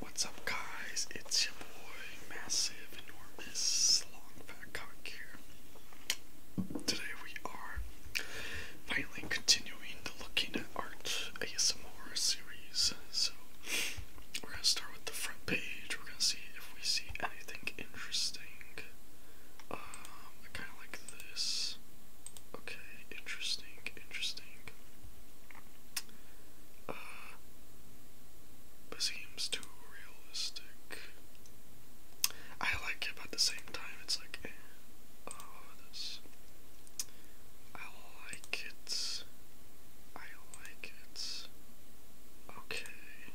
What's up, guys? It's your boy, Massive, Enormous, Long Fat Cock here. Today we are finally continuing the Looking at Art ASMR series. So, we're gonna start with the front page. We're gonna see if we see anything interesting. Um, I kinda like this. Okay, interesting, interesting it seems too realistic. I like it, at the same time, it's like, eh. oh, this. I like it. I like it. Okay.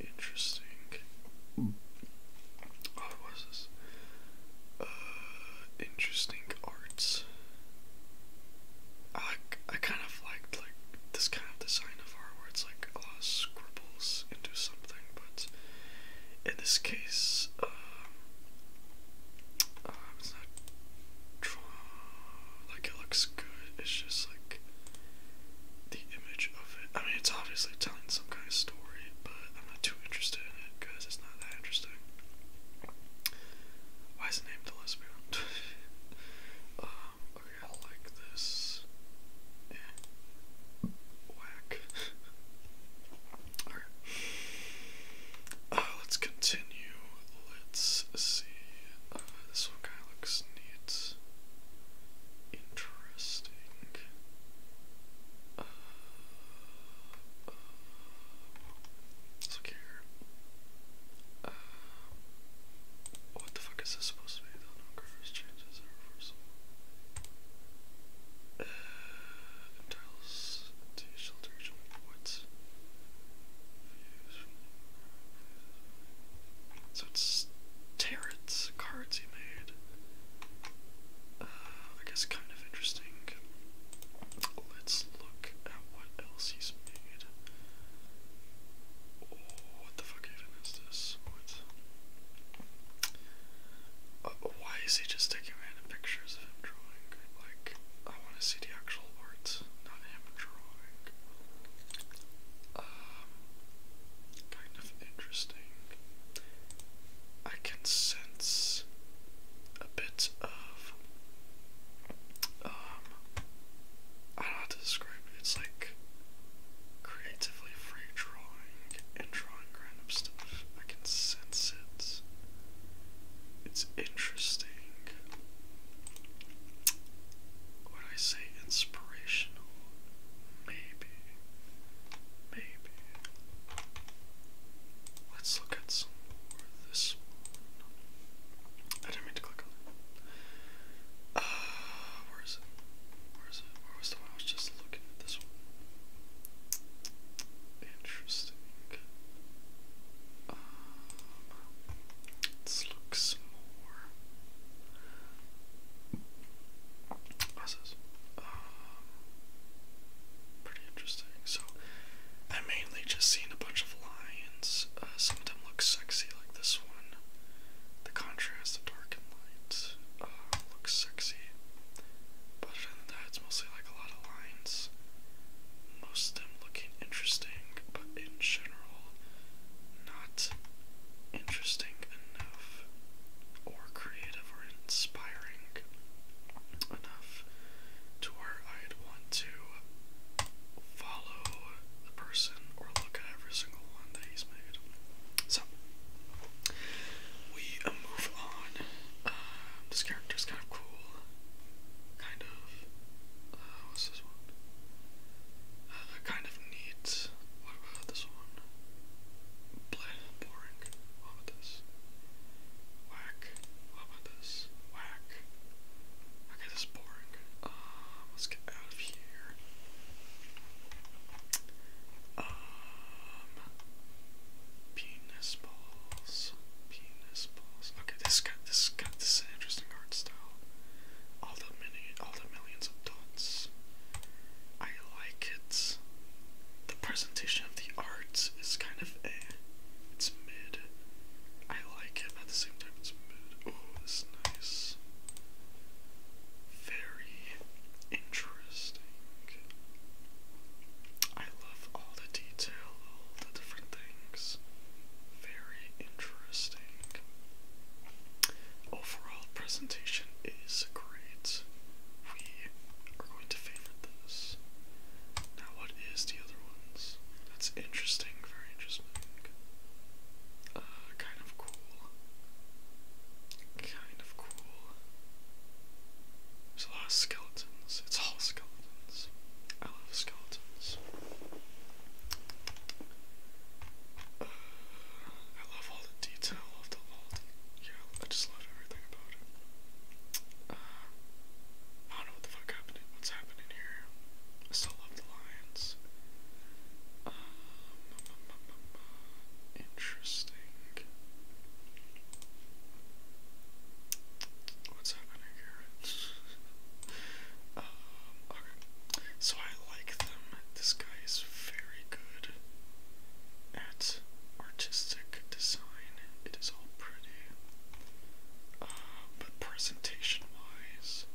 Interesting. Hmm. what was this? Uh, interesting arts. I, I kind of liked like this kind of design of art where it's like a scribbles into something, but in this case, um, um it's not like it looks good. It's just like the image of it. I mean, it's obviously telling some kind of story, but I'm not too interested in it because it's not that interesting. Why is it named the lesbian? Um, okay, I like this. Eh. Whack. Alright. Uh, let's continue. Let's see. Uh, this one kind looks neat. Interesting. Uh, Let's look here. Uh, what the fuck is this supposed to be? The no curves changes are reversible. Uh, entails to shelter points. So it's Tarot's cards he made. Uh, I guess kind of interesting. Let's look at what else he's made. Oh, what the fuck even is this? What? Uh, why is he just taking random pictures of him drawing? Like, I want to see the actual art, not him drawing. Um, kind of interesting. I can sense a bit of um how to describe it. It's like creatively free drawing and drawing random stuff. I can sense it. It's interesting. Would I say inspirational? Maybe. Maybe. Let's look at some more of this I didn't mean to click on that. Uh, where is it? Where is it? Where was the I was just looking at this one? Interesting. Um, let's look some more. this? Um, pretty interesting. So I mainly just seen a bunch of lions. Uh, some of them look sexy, like this one. The contrast of dark and light uh, looks sexy. But other than that, it's mostly like a lot of lines. Most of them looking interesting, but in general, not interesting enough or creative or inspiring enough to where I'd want to follow the person or look at every single one that he's made. So, we uh, move on. Uh, this character's kind of cool. Kind of. Uh, what's this one? Uh, kind of neat. What about this one? Blah, boring. What about this? Whack. What about this? Whack. Okay, this is boring. Uh, let's get out of here. Um, penis balls. Penis balls. Okay, this got this got this interesting art style. All the mini, all the millions of dots. I like it. The presentation of the art is kind of a. Eh. It's mid. I like it, at the same time it's mid. Oh, this is nice. Very interesting. I love all the detail, all the different things. Very interesting. Overall presentation is great. We are going to favor this. Now, what is the other ones? That's interesting, very interesting. Uh, kind of cool. Kind of cool. There's a lot of skeletons. It's all skeletons. I love skeletons. Uh, I love all the detail of the all yeah, I just love everything about it. Uh, I don't know what the fuck happened. What's happening here? I still love the Lions. Um, interesting. What's happening here? Um, so I like them. This guy is very good at artistic design. It is all pretty. Um, but presentation-wise,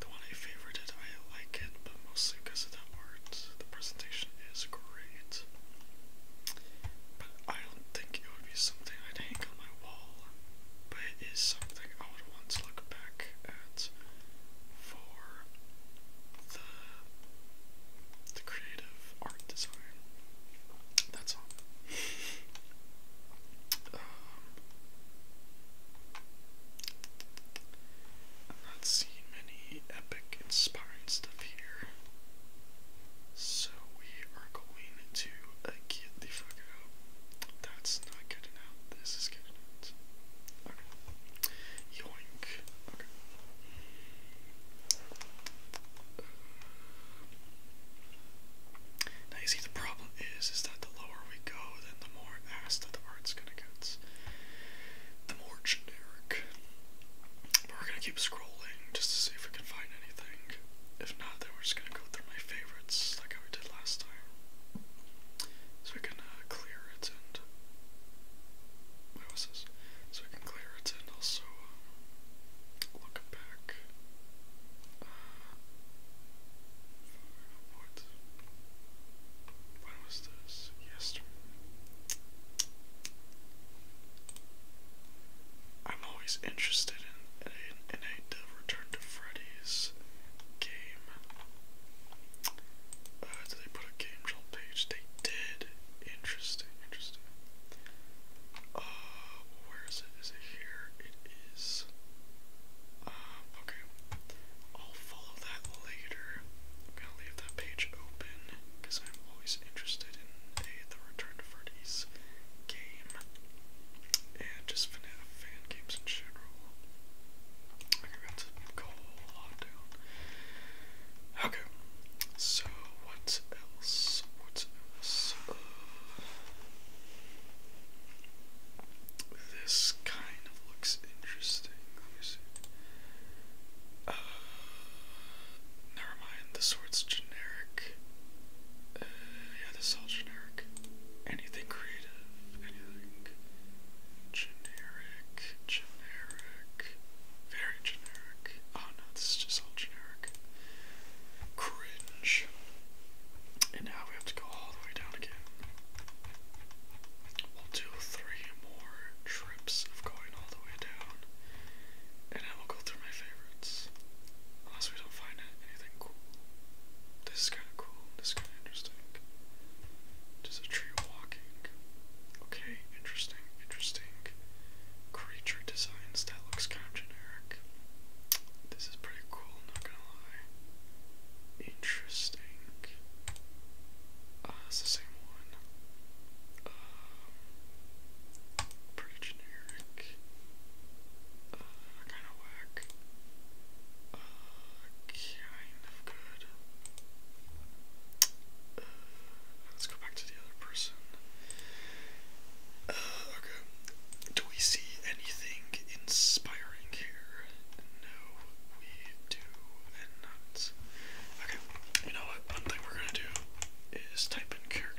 the one I favored it. I like it, but mostly because of the art. The presentation is great. But I don't think it would be something I'd hang on my wall. But it is something I would want to look back at for the the creative art design. That's all. I'm um, not seeing many epic inspiring stuff here. So we are going to uh, get the fuck out. That's not good enough. This is good enough. Okay. Yoink. Okay. Uh, now you see the problem is is that the lower we go, then the more asked that the art's gonna get. The more generic. we're gonna keep scrolling just to see if we can find anything. If not, then we're just gonna go through my favorites like we did last time. So we can uh, clear it and what was this? So we can clear it and also uh, look back. Uh, what? When was this? Yesterday. I'm always interested in in, in a Return to Freddy's game. Uh, did they put a game journal page? They did. Interesting, interesting. Uh, where is it? Is it here? It is. Uh, okay. I'll follow that later. I'm gonna leave that page open because I'm always interested in a the Return to Freddy's game and just FNAF fan games in general. Okay, we have to go a lot down. Okay, so what else? What else? Uh, this kind of looks interesting. Let me see. Uh, never mind. This sword's generic. Uh, yeah, this is all generic. Anything creative? Anything generic? Generic? Very generic. Oh no, this is just all generic. Cringe. And now we have to go all the way down again. We'll do three more trips of going all the way down. And I will go through my favorites. Unless we don't find anything cool. This is kinda cool. This is kinda interesting. Just a tree walking. Okay, interesting, interesting. Creature designs, that looks kind of generic. This is pretty cool, not gonna lie. Interesting. Uh, it's the same one. Um, pretty generic. Uh, kind of whack. Uh, kind of good. Uh, let's go back to the other person okay. Do we see anything inspiring here? No, we do not. Okay, you know what? One thing we're gonna do is type in character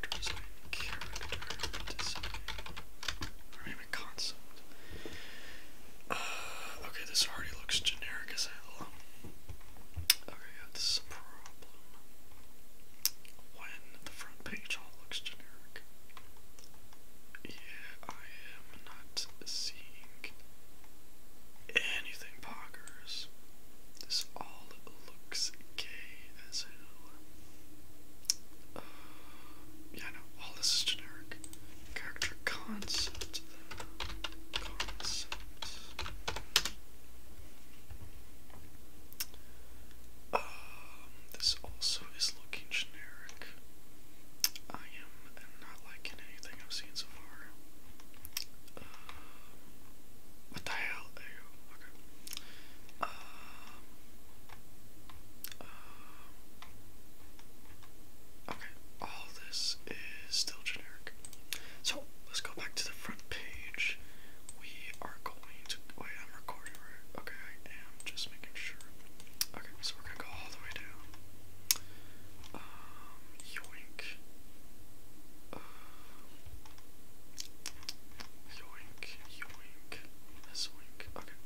Character design. Or maybe concept. Uh, okay, this already looks generic as hell. Okay, yeah, this is a problem when the front page all looks generic. Yeah, I am not seeing anything poggers. This all looks gay as hell. Uh, yeah, no, all this is generic. Character concept, though. Concept. Um, this also is looking generic. I am not liking anything I've seen so far. Uh, what the hell? Okay. Uh, um, okay, all this is still generic. So let's go back to the front page. We are going to wait. Oh I'm recording. Okay, I am. Just making sure. Okay, so we're gonna go all the way down. Um, yoink. Uh, yoink, yoink, this wink. Okay.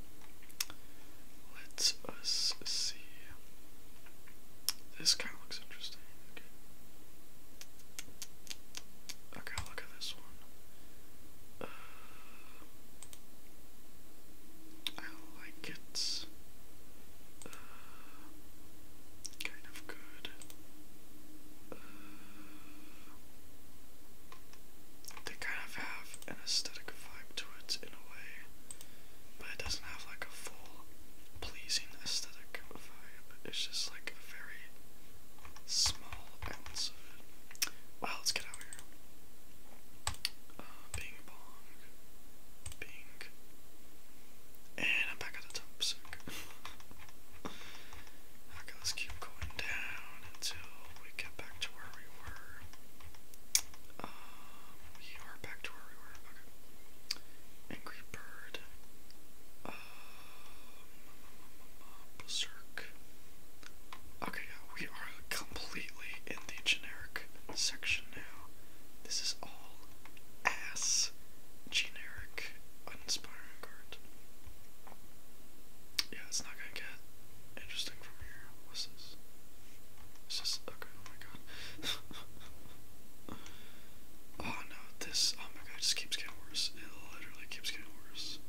Let us uh, see. This kind looks interesting. Okay. Okay, look at this one. Uh, I like it. Uh, kind of good. Uh, they kind of have an aesthetic vibe to it in a way, but it doesn't have like a full pleasing aesthetic vibe. It's just like a very small ounce of it. Wow, let's get out here. Uh, bong. Bing. And I'm back at the top, sick. How goes keep going down until we get back to where we were. Um, we are back to where we were. Okay. Angry bird. Uh, Berserk. Okay, we are completely in the generic section now. This is all ass generic uninspiring art. Yeah, it's not gonna get interesting from here. What's this? Is okay? Oh my god. Oh no, this, oh my god, it just keeps getting worse. It literally keeps getting worse.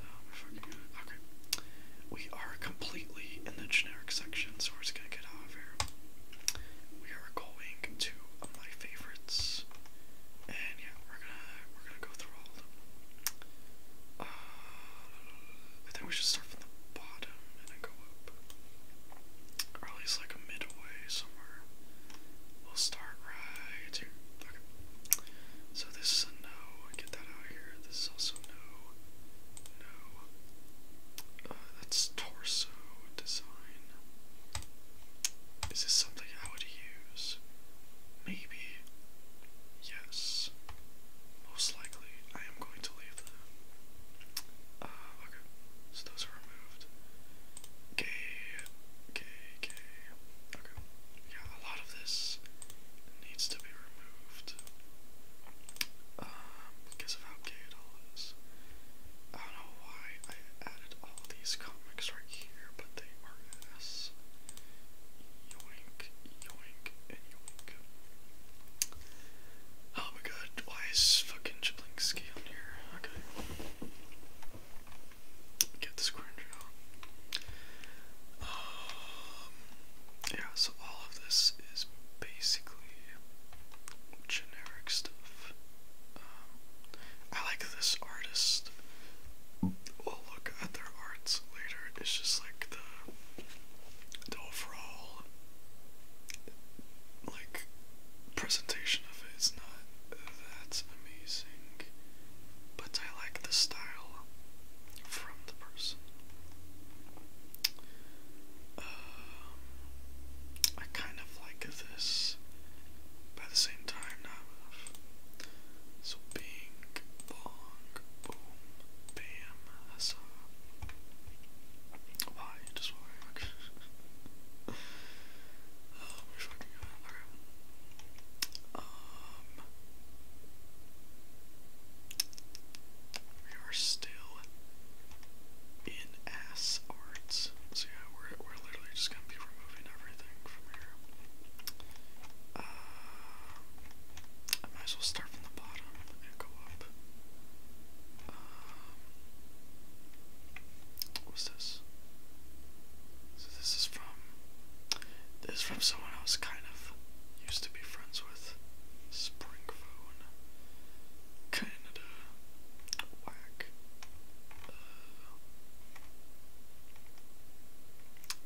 Oh my fucking god. Okay. We are completely in the generic section, so we're just gonna get out of here. We are going to my favorites. And yeah, we're gonna we're gonna go through all them. Uh, I think we should start from the bottom and go up. Or at least like midway somewhere. We'll start right here. So this is a no. Get that out here. This is also no. No. Uh, that's torso design. Is this something I would use? Maybe. Yes. Most likely, I am going to leave them. Uh, so those are removed. Okay, okay, okay. Okay, yeah, a lot of this needs to be removed um, because of how gay it all is. I don't know why I added all these comics right here, but they are ass. Yoink, yoink, and yoink. Oh my god, why is fucking Jablinkski on here? Okay. Get the square out. Um, yeah, so all of this is basically generic stuff. Um, I like this artist. We'll look at their arts later. It's just like the, the overall, like presentation of it is not that amazing, but I like the style from the person. Um, I kind of like this, but the same time, So, bing, bong, boom, bam, huzzah why it um, we're still in ass arts. So yeah, we're we're literally just gonna be removing everything from here. Uh, I might as well start from the bottom and go up. Um, What's this? So this is from this is from someone else kind of used to be friends with Springphone. Kinda uh,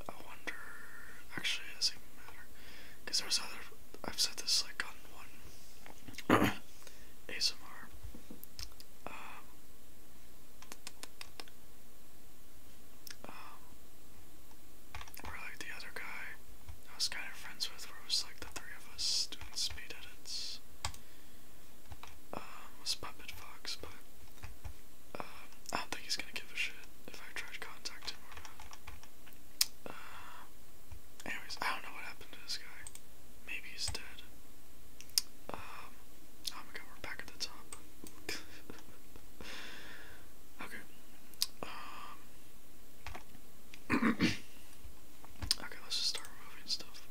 I wonder actually it doesn't even matter. Cause there's other I've said this like on one ASMR. Um, um, or like the other guy I was kind of friends with, it was like the three of us doing speed edits. Um, was Puppet Fox, but um, I don't think he's gonna give a shit if I tried contacting him Uh, anyways, I don't know what happened to this guy. Maybe he's dead. Um, oh my god, we're back at the top. okay. Um, okay, let's just start removing stuff.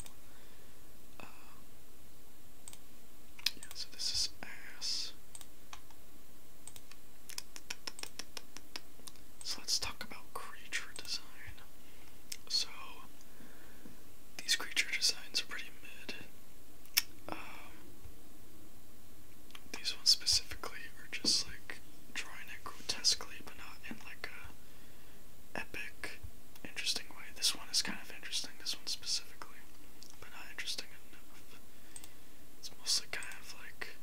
Uh, yeah, so this is ass. So let's talk about creature design. So these creature designs are pretty mid. Um, these ones specifically are just like drawing it grotesquely, but not in like a epic, interesting way. This one is kind of interesting. This one specifically, but not interesting enough. It's mostly kind of like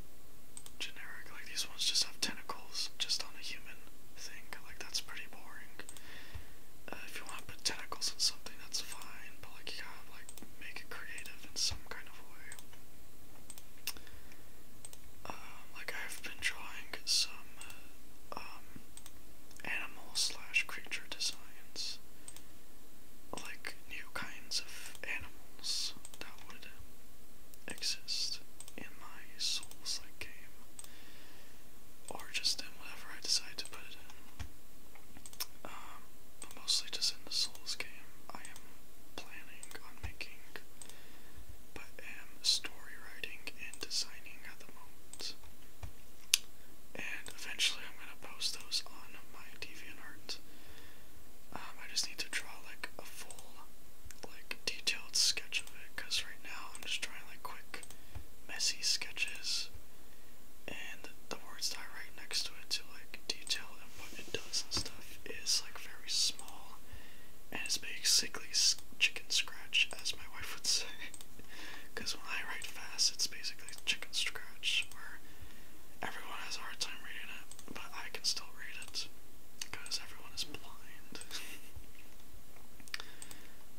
generic. Like these ones just have tentacles tentacles just on a human thing. Like, that's pretty boring. Uh, if you want to put tentacles in something, that's fine, but like, you gotta like make it creative in some kind of way. Um, like, I've been drawing some uh, um, animal slash creature designs, like new kinds of animals that would exist in my Souls like game or just in whatever I decide to put it in. Um, but mostly just in the Souls game, I am planning on making, but am story writing and designing at the moment. And eventually, I'm gonna post those on my DeviantArt. Um, I just need to draw like a full, like, detailed sketch of it because right now I'm just trying like quick, messy sketches and the words that I write next to it to like detail and what it does and stuff is like very small and it's basically chicken scratch as my wife would say because when I write fast it's basically chicken scratch where everyone has a hard time reading it but I can still read it because everyone is blind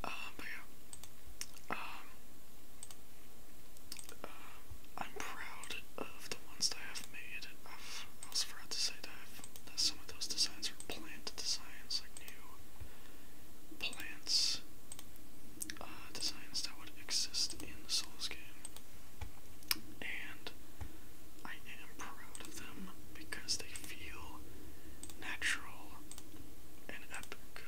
Um, um, uh, I'm proud of the ones I have made. i also forgot to say that, some of those designs are plant designs, like new plants uh, designs that would exist in the Souls game. And I am proud of them because they feel natural and epic.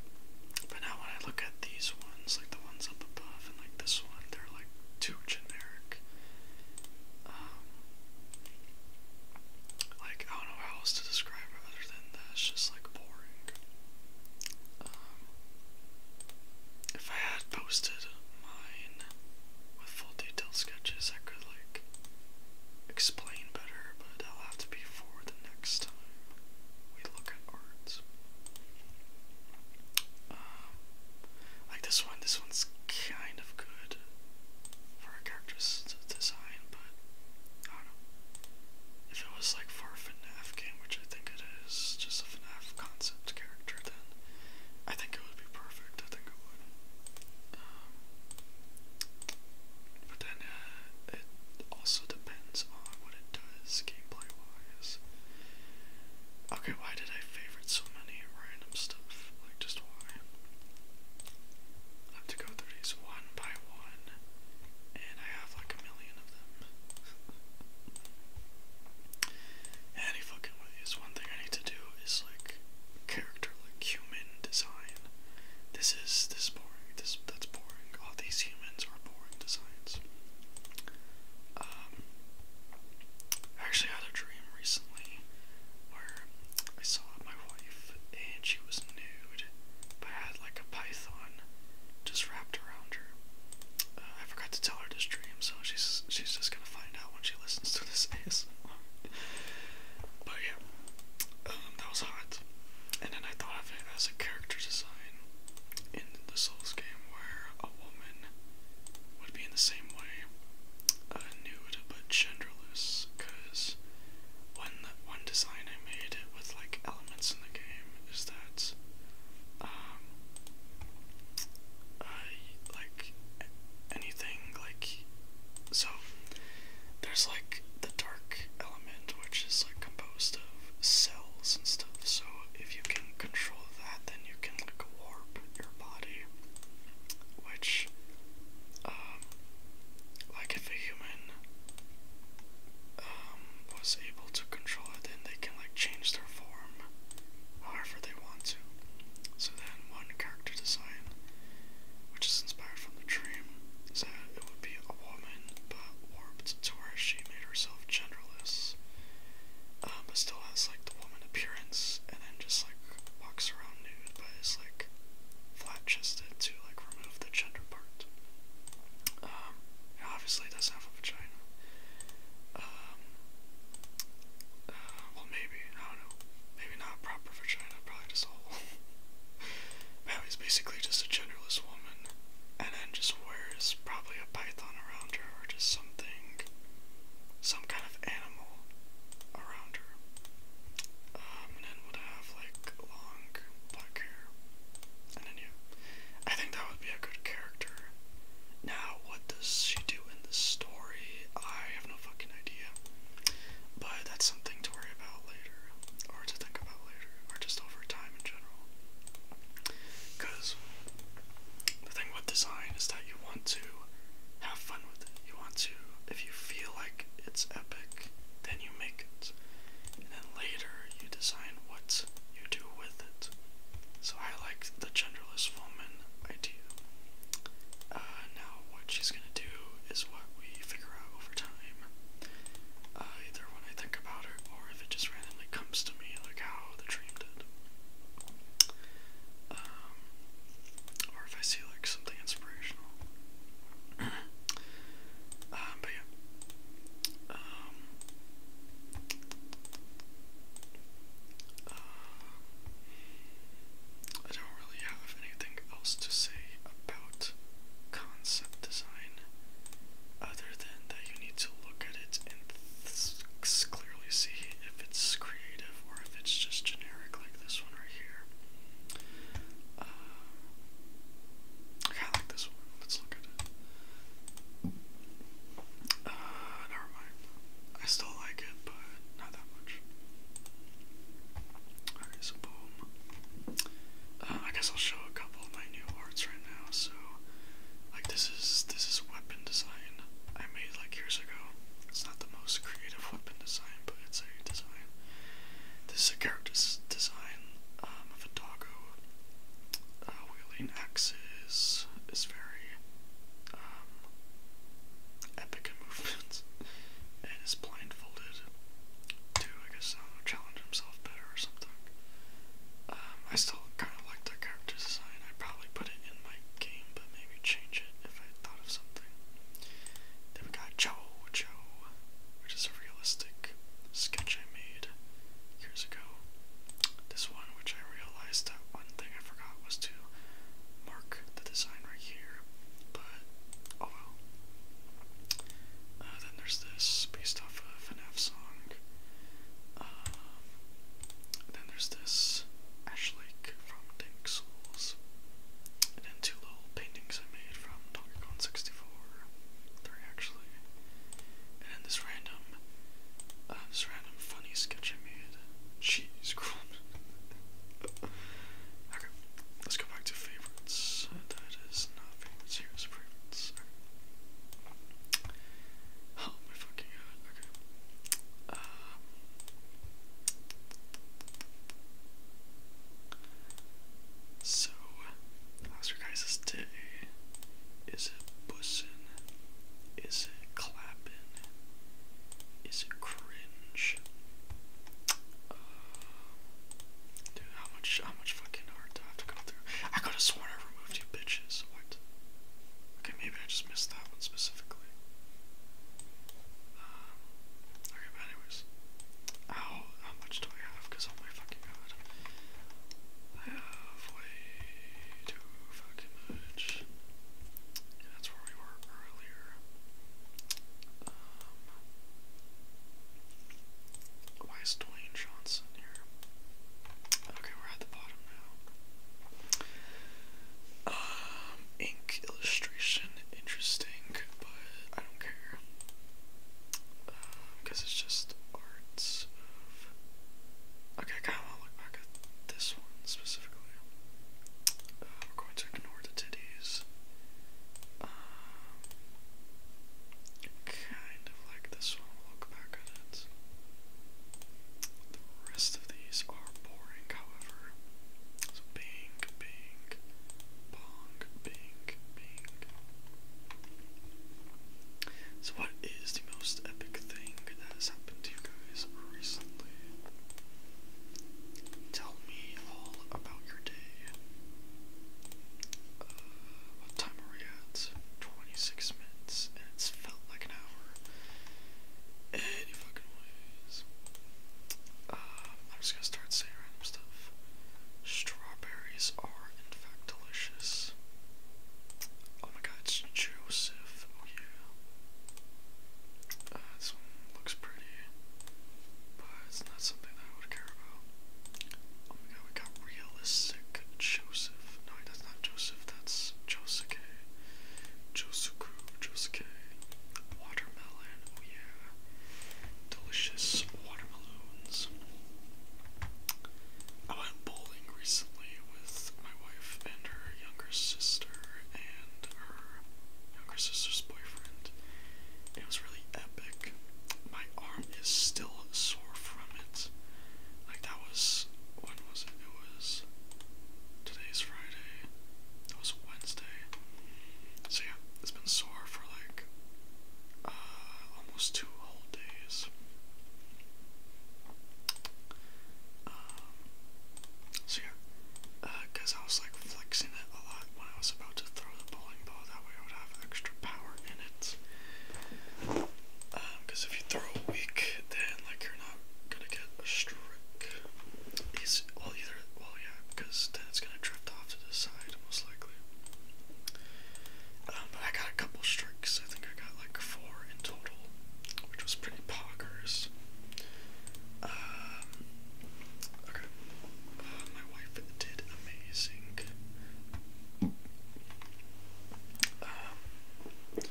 But now when I look at these ones, like the ones up above and like this one, they're like too generic. Um, like I don't know how else to describe it other than that just like boring. Um, if I had posted mine with full detail sketches I could like explain better, but i will have to be for the next time we look at art. Um, like this one, this one's kind of good for a character's design, but I don't know. If it was like for a FNAF game, which I think it is, just a FNAF concept character, then I think it would be perfect. I think it would. Um, but then uh, it also depends on what it does gameplay wise. Okay, why did I favorite so many random stuff? Like, just why? I have to go through these one by one, and I have like a million of them. Any fucking One thing I need to do is like character like human design. This is this boring. This that's boring. All these humans are boring designs. Um, I actually had a dream recently where I saw my wife and she was nude, but had like a python just wrapped around her. Uh, I forgot to tell her this dream, so she's she's just gonna find out when she listens to this this. But yeah, um, that was hot. And then I thought of it as a character design in the Souls game where a woman would be in the same way, uh, nude but genderless. Because one one design I made with like elements in the game is that, um, uh, like anything like so there's like the dark element which is like composed of cells and stuff so if you can control that then you can like warp your body which um like if a human um was able to control it then they can like change their form however they want to so then one character design, which is inspired from the dream, is that it would be a woman, but warped to where she made herself genderless, um, but still has like the woman appearance, and then just like walks around nude, but is like flat chested to like remove the gender part. Um, obviously doesn't have a vagina. Um, uh, well, maybe I don't know maybe not proper for China, probably just whole. but he's basically just a genderless woman, and then just wears probably a python around her or just something, some kind of animal around her. Um, and then would have like long black hair. And then yeah, I think that would be a good character. Now, what does she do in the story? I have no fucking idea. But that's something to worry about later, or to think about later, or just over time in general. Because the thing with design is that you want to have fun with it. You want to, if you feel like it's epic, then you make it. And then later you design what you do with it. So I like the genderless woman I uh, now, what she's gonna do is what we figure out over time. Uh, either when I think about it or if it just randomly comes to me, like how the dream did. Um, or if I see like something inspirational. Um, but yeah. Um, I don't really have anything else to say about concept design other than that you need to look at it and clearly see if it's creative or if it's just generic like this one right here. Uh, I kinda like this one. let look at uh, never mind. I still like it, but not that much. Alright, so boom. Uh, I guess I'll show a couple of my new arts right now. So, like this is this is weapon design I made like years ago. It's not the most creative weapon design, but it's a design. This is design um, of a doggo. Uh, wielding axes is very um, epic and is blindfolded to, I guess, uh, challenge himself better or something. Um, I still kind of like the character design. I'd probably put it in my game, but maybe change it if I thought of something. Then we got Joe Joe, which is a realistic sketch I made years ago. This one, which I realized that one thing I forgot was to mark the design right here, but oh well. Uh, then there's this based off of an F song. Um, then there's this Ash Lake from Dank And two little paintings I made from Donkey Kong 64. Three actually. And then this random, uh, this random funny sketch I made. Cheese crumb. Okay, let's go back to favorites. That is not favorites, here's favorites. Okay. Oh my fucking god, okay. Um, so, how's guys' day? Is it bussin'? Is it clapping? is cringe. Uh, dude, how much how much fucking art do I have to go through? I could have sworn I removed you bitches. What? Okay, maybe I just missed that one specifically. Uh, okay, but anyways. Ow, how much do I have? Because oh my fucking god. I have way too fucking much that's where we were earlier. Um, why is Dwayne Johnson here? Okay, we're at the bottom now. Um, ink illustration, interesting, but I don't care. Because um, it's just arts Okay, I kind to look back at this one specifically. Uh, going to ignore the titties. Um, kind of like this one, we'll look back at it. The rest of these are boring, however. So bing, bing, bong, bing, bing. So what is the most epic thing that has happened to you guys recently? Tell me all about your day. Uh, what time are we at? 26 minutes, and it's felt like an hour. Any fucking ways. Uh, I'm just gonna start saying random stuff. Strawberries are, in fact, delicious. Oh my god, it's Joseph. Oh yeah. Uh, looks pretty, but it's not something that I would care about. Oh my god, we got realistic Joseph. No, that's not Joseph, that's Josuke. Josuku, Josuke. Watermelon, oh yeah. Delicious watermelons. I went bowling recently with my wife and her young younger sister and her younger sister's boyfriend. It was really epic. My arm is still sore from it. Like that was when was it? It was today's Friday. It was Wednesday. So yeah, it's been sore for like uh, almost two whole days. Uh, so yeah, because uh, I was like flexing it a lot when I was about to throw the bowling ball, that way I would have extra power in it. Because um, if you throw weak, then like you're not gonna get a strike. Easy. Well, either, well, yeah, because then it's gonna drift off to the side, most likely. Um, but I got a couple strikes. I think I got like four in total, which was pretty poggers. Um, okay. Oh, my wife did amazing. Um, um,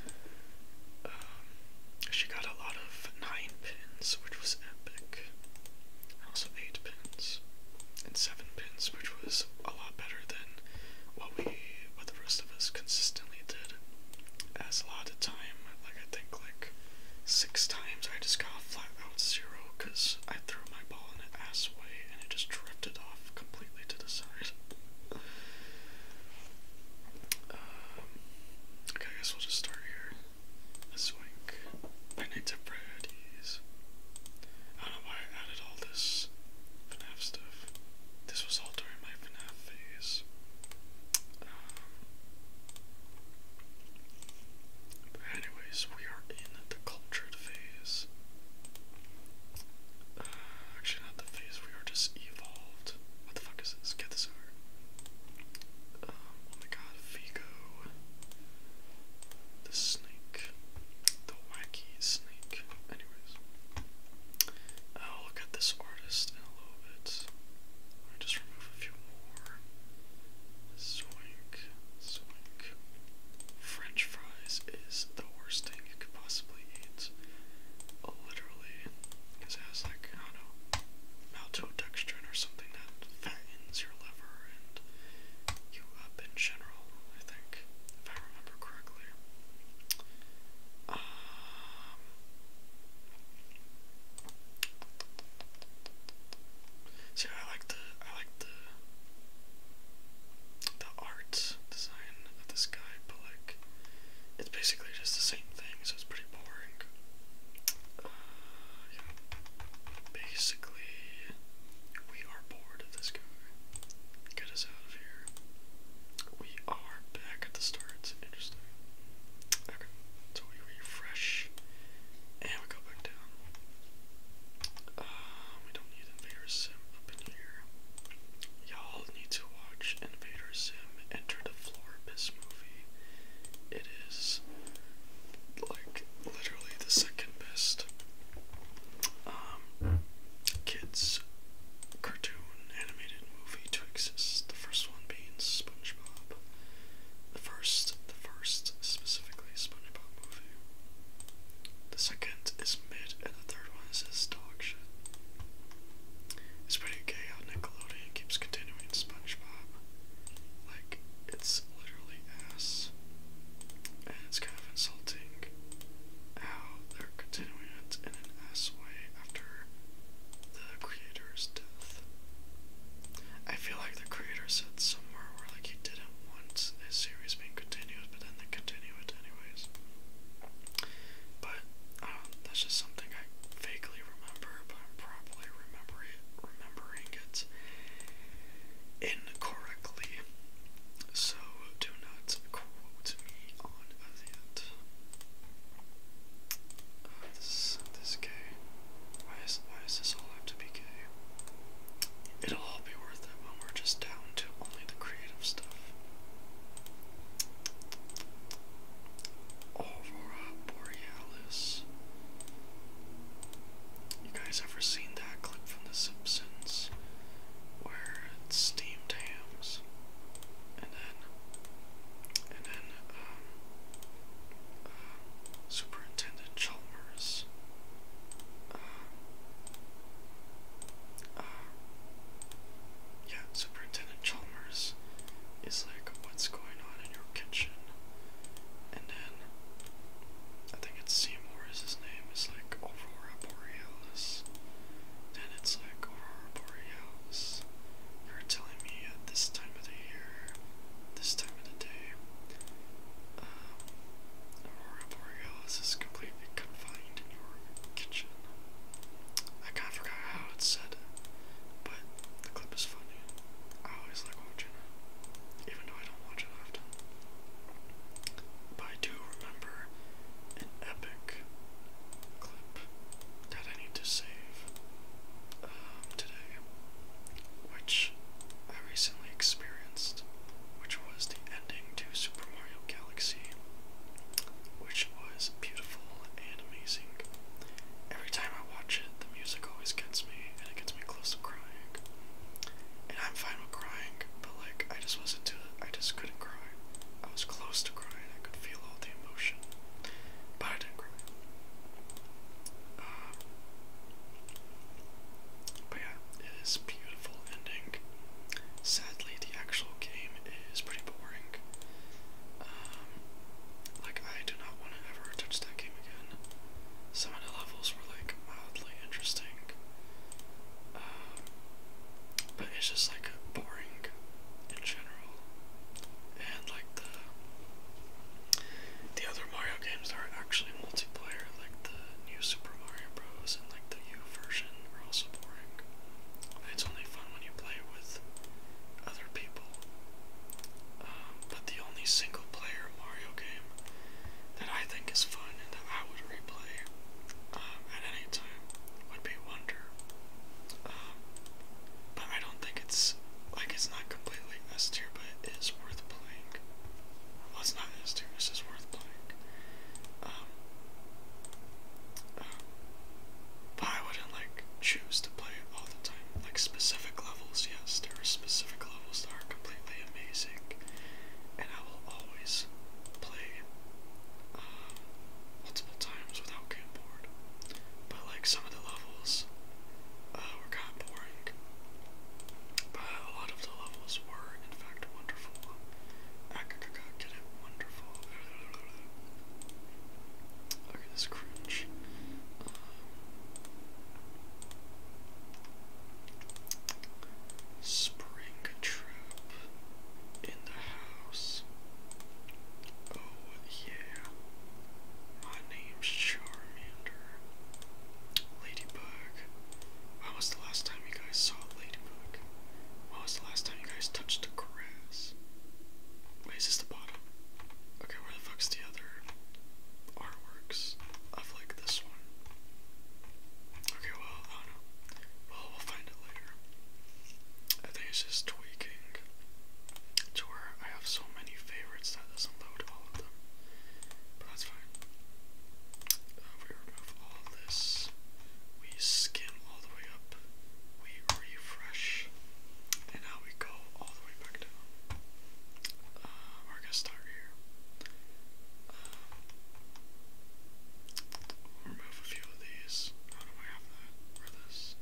she got a lot of nine pins, which was epic. Also eight pins and seven pins, which was a lot better than what we, what the rest of us consistently did. That's a lot of time. Like I think like six times I just got a flat out zero because I threw my ball in an ass way and it just drifted off completely to the side. Um, okay, I guess we'll just start here. Let's like Benita I don't know why I added all this FNAF stuff. This was all during my FNAF phase anyways, we are in the cultured phase. Uh, actually, not the phase. We are just evolved. What the fuck is this? Get this over. Um, oh my god, Vigo. The snake. The wacky snake. Anyways. Oh, look at this artist a little bit. Let just remove a few more. Zoink, zoink. French fries is the worst thing you could possibly eat. Literally, because it has like, I don't know, maltodextrin or something that fattens your liver and you up in general, I think, if I remember correctly. See, I like the I like the the art design of this guy, but like it's basically just the same thing, so it's pretty boring. Uh, basically, we are bored of this guy. Get us out of here. We are back at the start. Interesting so we refresh, and we go back down. Um, we don't need Invader Sim up in here. Y'all need to watch Invader Sim Enter the Floor movie. It is like literally the second best um, hmm. kids cartoon animated movie to exist. The first one Bane's SpongeBob. The first, the first specifically SpongeBob movie. The second is mid, and the third one is his dog shit. It's pretty gay how Nickelodeon keeps continuing SpongeBob. Like, it's literally ass. And it's kind of insulting how they're continuing it in an ass way after the creator's death. I feel like the creator said somewhere where like he didn't want his series being continued, but then they continue anyways. But um, that's just something I vaguely remember, but I'm probably remembering remembering it incorrectly. So do not quote me Oh, this this K. Why is why does this all have to be gay? It'll all be worth it when we're just down to only the creative stuff. Aurora Borealis. You guys ever seen that clip from The Simpsons where it's steamed hams? and then and then um, uh, Superintendent Chalmers. Uh, uh, yeah, Superintendent Chalmers is like, what's going on in your kitchen? And then, I think it's Seymour is his name, is like Aurora Borealis. Then it's like Aurora Borealis else for telling me at this time of the year, this time of the day. Um, Aurora Borealis is completely confined in your kitchen. I kind of forgot how it said, but the clip is funny. I always like watching it, even though I don't watch it often. But I do remember an epic clip that I need to save um, today, which I recently experienced, which was the ending to Super Mario Galaxy, which was beautiful and amazing. Every time I watch it, the music always gets me, and it gets me close to crying. And I'm fine with crying, but like I just wasn't to I just couldn't cry. I was close to crying. I could feel all the emotion. Uh, but yeah, it is beautiful ending. Sadly, the actual game is pretty boring. Um, like, I do not want to ever touch that game again. Some of the levels were, like, mildly interesting. Um, but it's just, like, boring and like the the other Mario games are actually multiplayer, like the new Super Mario Bros. and like the U version, are also boring. it's only fun when you play with other people. Um, but the only single-player Mario game that I think is fun and that I would replay um, at any time would be Wonder. Um, but I don't think it's like it's not completely S but it is worth playing. Well, it's not S It's just worth playing. Um, um, but I wouldn't like choose to play it all the time. Like specific levels, yes, there are specific levels that are completely amazing, and I will always play multiple times without getting bored. But like some of the levels uh, were kind of boring. But a lot of the levels were in fact wonderful. I could get it wonderful. Okay, this cringe. Um, spring trap in the house. Oh, yeah. My name's Charmander. Ladybug. When was the last time you guys saw Ladybug? When was the last time you guys touched the grass? Wait, this the bottom? Okay, where the fuck's the other artworks of like this one? Okay, well, Well, we'll find it later. I think it's just tweaking to where I have so many favorites that doesn't load all of them. But that's fine. Uh, we remove all this. We skim all the way up. We refresh. And now we go all the way back down. Um, uh, or I guess start here. Uh, remove a few of these. How do I have that? Or this?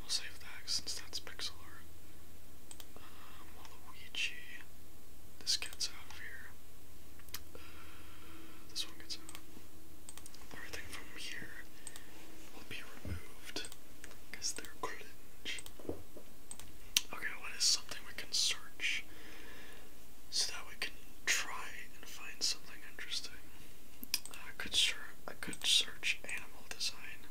we'll save that since that's pixel art. Um, This gets out of here. this one gets out. Everything from here will be removed because they're cringe. Okay, what is something we can search so that we can try and find something interesting? I could search. I could search animal design,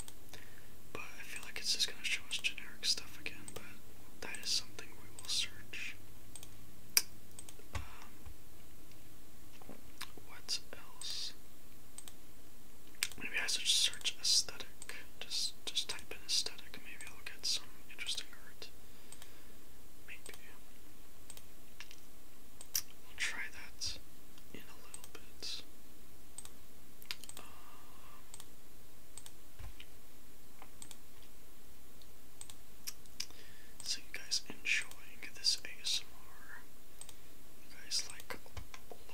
but I feel like it's just gonna show us generic stuff again. But that is something we will search. Um, what else? Maybe I should search aesthetic. Just, just type in aesthetic. Maybe I'll get some interesting art. Maybe. We'll try that in a little bit. Um, so you guys enjoying this ASMR? You guys like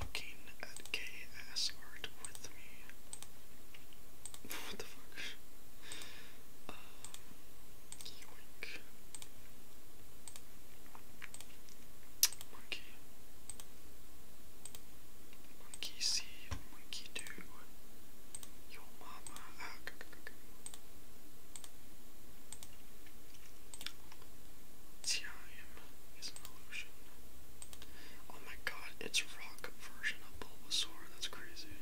looking at gay ass art with me? what the fuck? Um, Yoink. Monkey. Monkey see, monkey do. Your mama. Ah, go, go, go, go. an illusion. Oh my god, it's a rock version of Bulbasaur. That's crazy.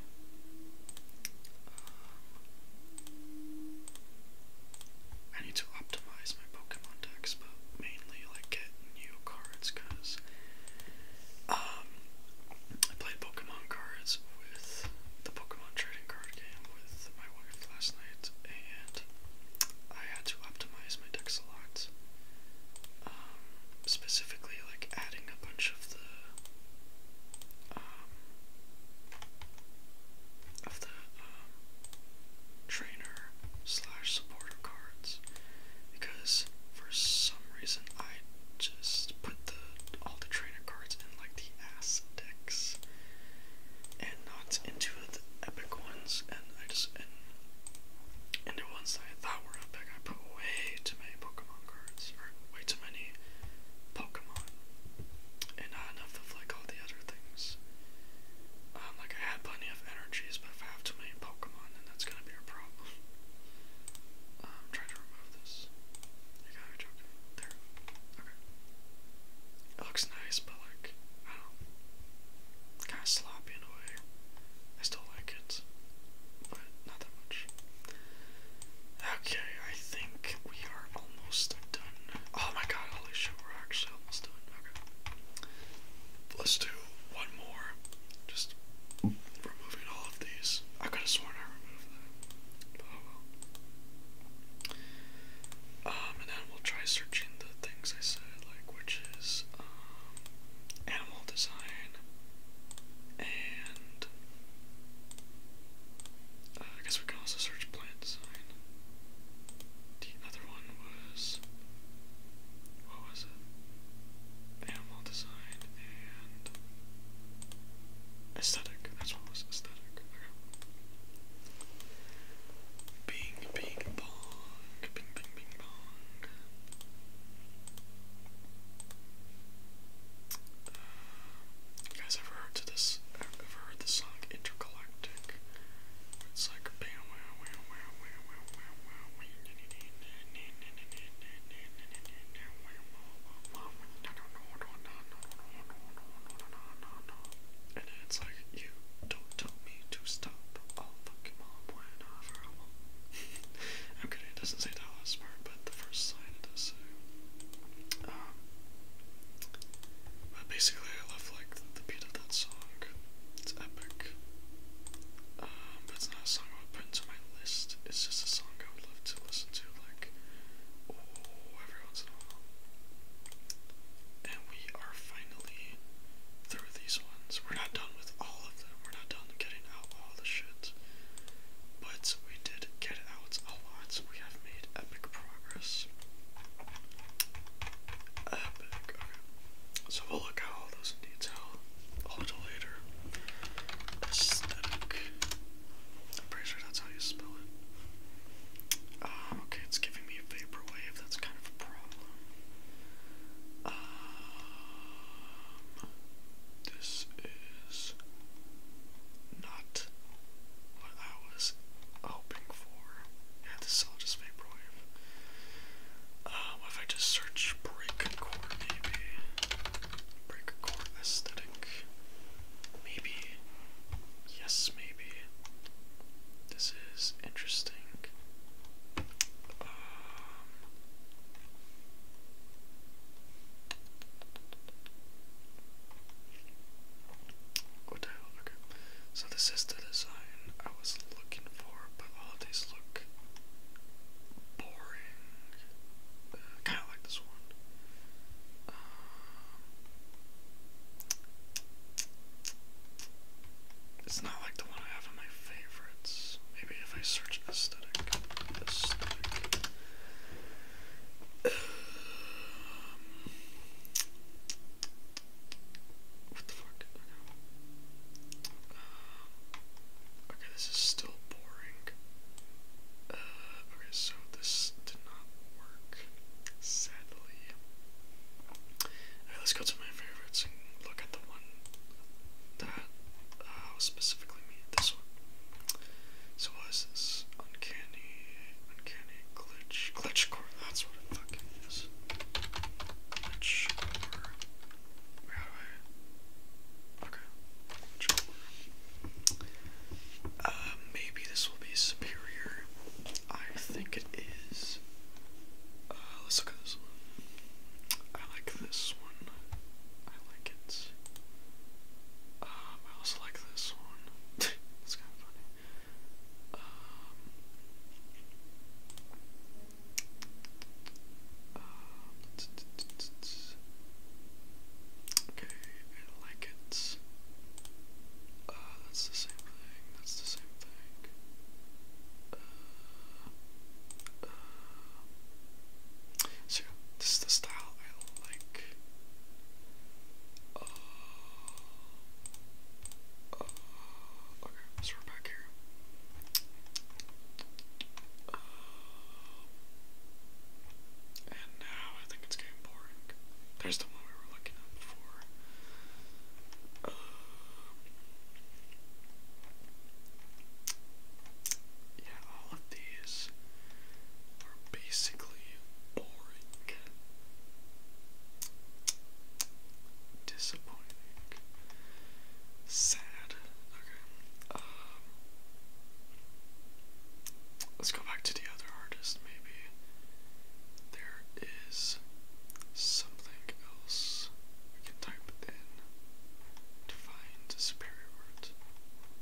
I need to optimize my Pokemon decks, but mainly like get new cards because um, I played Pokemon cards with the Pokemon trading card game with my wife last night, and I had to optimize my decks a lot. Um, specifically, like adding a bunch of the um, of the um, trainer slash supporter cards because for some reason I just put the all the trainer cards in like the ass decks and not into the epic ones and I just and, the ones that I thought were epic I put way too many Pokemon way too many Pokemon, and not enough of like all the other things. Um, like I had plenty of energies, but if I have too many Pokemon, then that's gonna be a problem. Um, to remove this. There. Okay. It looks nice, but like, I don't Kinda sloppy in a way. I still like it, but not that much. Okay, I think we are almost done. Oh my god, holy we're actually almost done. Okay. Let's do one more. Just removing all of these. I could have sworn I removed that. Oh um, and then we'll try searching the things I said, like, which um, animal design and uh, I guess we can also search plant design. The other one was. What was it? Animal design and. Aesthetic. That's what was. Aesthetic. Bing, bing, bong. Bing, bing, bing, bong. Uh, you guys ever heard to this? Ever heard the song Intergalactic? It's like bam, wow, wow, wow, wow, wow, wow, wow, wow. And it's like you don't tell me to stop. I'll fucking mom whenever I want. I'm kidding. It doesn't say that last part the first line does say. but basically, I love like the beat of that song. It's epic. Um, but it's not a song I would put into my list. It's just a song I would love to listen to, like oh, every once in a while. And we are finally through these ones. We're not done with all of them. We're not done getting out all the shit. But we did get out we have made epic progress. Epic, So we'll look at all those in later. Aesthetic. I'm that's how you spell it. Um, okay, it's giving me a vaporwave, that's kind of a problem. Um, this is not what I was hoping for. Yeah, this is just vaporwave. Um, if I just search breakcore, maybe breakcore aesthetic, maybe yes, maybe this is interesting. Um, what the hell? Okay. So this is the design I was looking for, but all of these look boring. Uh, kind of like this one. Um, it's not like the one I have in my favorites. Maybe if I search aesthetic, aesthetic. What the fuck? Uh, okay, this is still boring. Uh, okay, so this did not work, sadly. Okay, let's go to my favorites and look at the one that uh, specifically me. This one. So what is this? Uncanny, uncanny glitch, glitch core. That's what it fucking is. Glitch core. do I? Okay. Glitch core. Uh, maybe this will be superior. I think it is. Uh, let's look at this one. I like this one. I like it. Um, I also like this one. it's kind of funny. Um, um, okay, I like it. Uh, that's the same thing. That's the same thing. Uh, uh, so this is the style I like okay, so we're back here. and now I think it's getting boring. There's the one we were looking at before. Uh, yeah, all of these are basically boring, disappointing, sad. Okay, um, let's go back to the other artist. Maybe there is something else we can type in to find a superior art.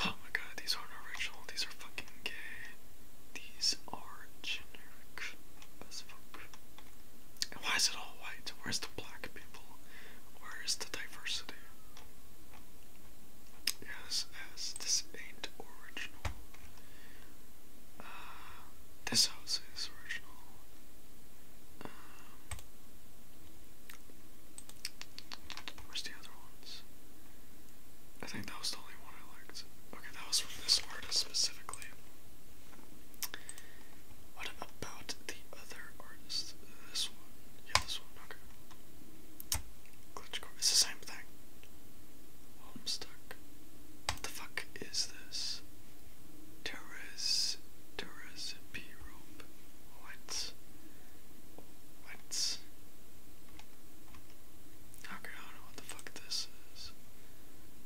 Oh my god, these aren't original, these are fucking gay. These are generic as fuck. why is it all white? Where's the black people? Where is the diversity? Yes, yes, this ain't original. Uh, this house is original. Um, where's the other ones? I think that was the only one I liked. Okay, that was from this artist specifically. What about the other artist? This one. Yeah, this one. Okay. Glitchcore. It's the same thing. I'm stuck. What the fuck is this? Terrace. Terrace B rope. What? I don't know what the fuck this is.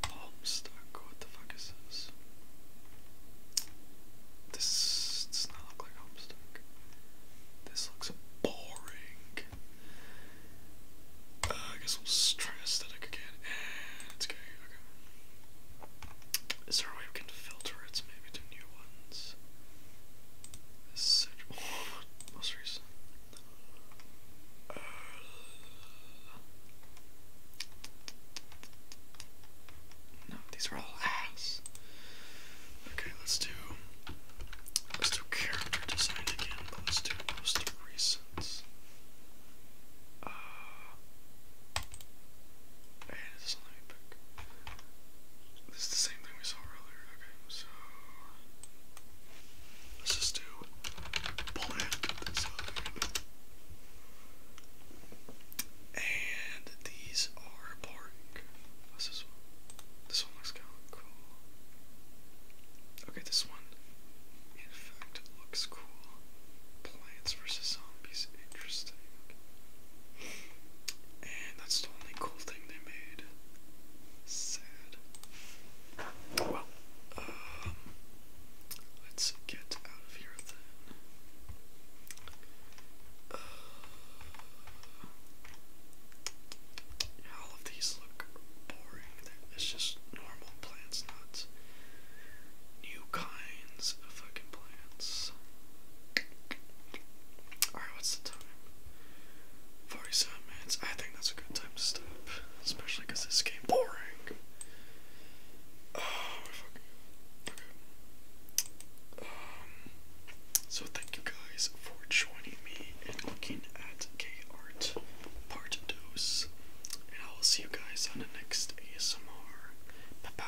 Palmstock, what the fuck is this? This does not look like Homestuck. This looks boring. Uh, I guess we'll try aesthetic again. Eh, it's okay, okay. Is there a way we can filter it maybe to new ones? Such most recent. Uh, no, these are all ass. Okay, let's do let's do character design again, let's do most recent. Uh, hey, this is not pick. This is the same thing we saw earlier. Okay, so let's just do plant And these are park. What's this one? This one looks kind of cool. Okay, this one, in fact, looks cool. Plants versus zombies, interesting. And that's the only cool thing they made. Sad. Well, um, let's get out of here then. Uh, all of these look boring. It's just normal plants, not new kinds of fucking plants. Alright, what's the time? 47 minutes. I think that's a good time to stop. Especially because this game boring. Oh, fucking. Okay. Um, so thank you guys for joining me and looking at K-Art Part Dose. And I will see you guys on the next ASMR. Bye-bye.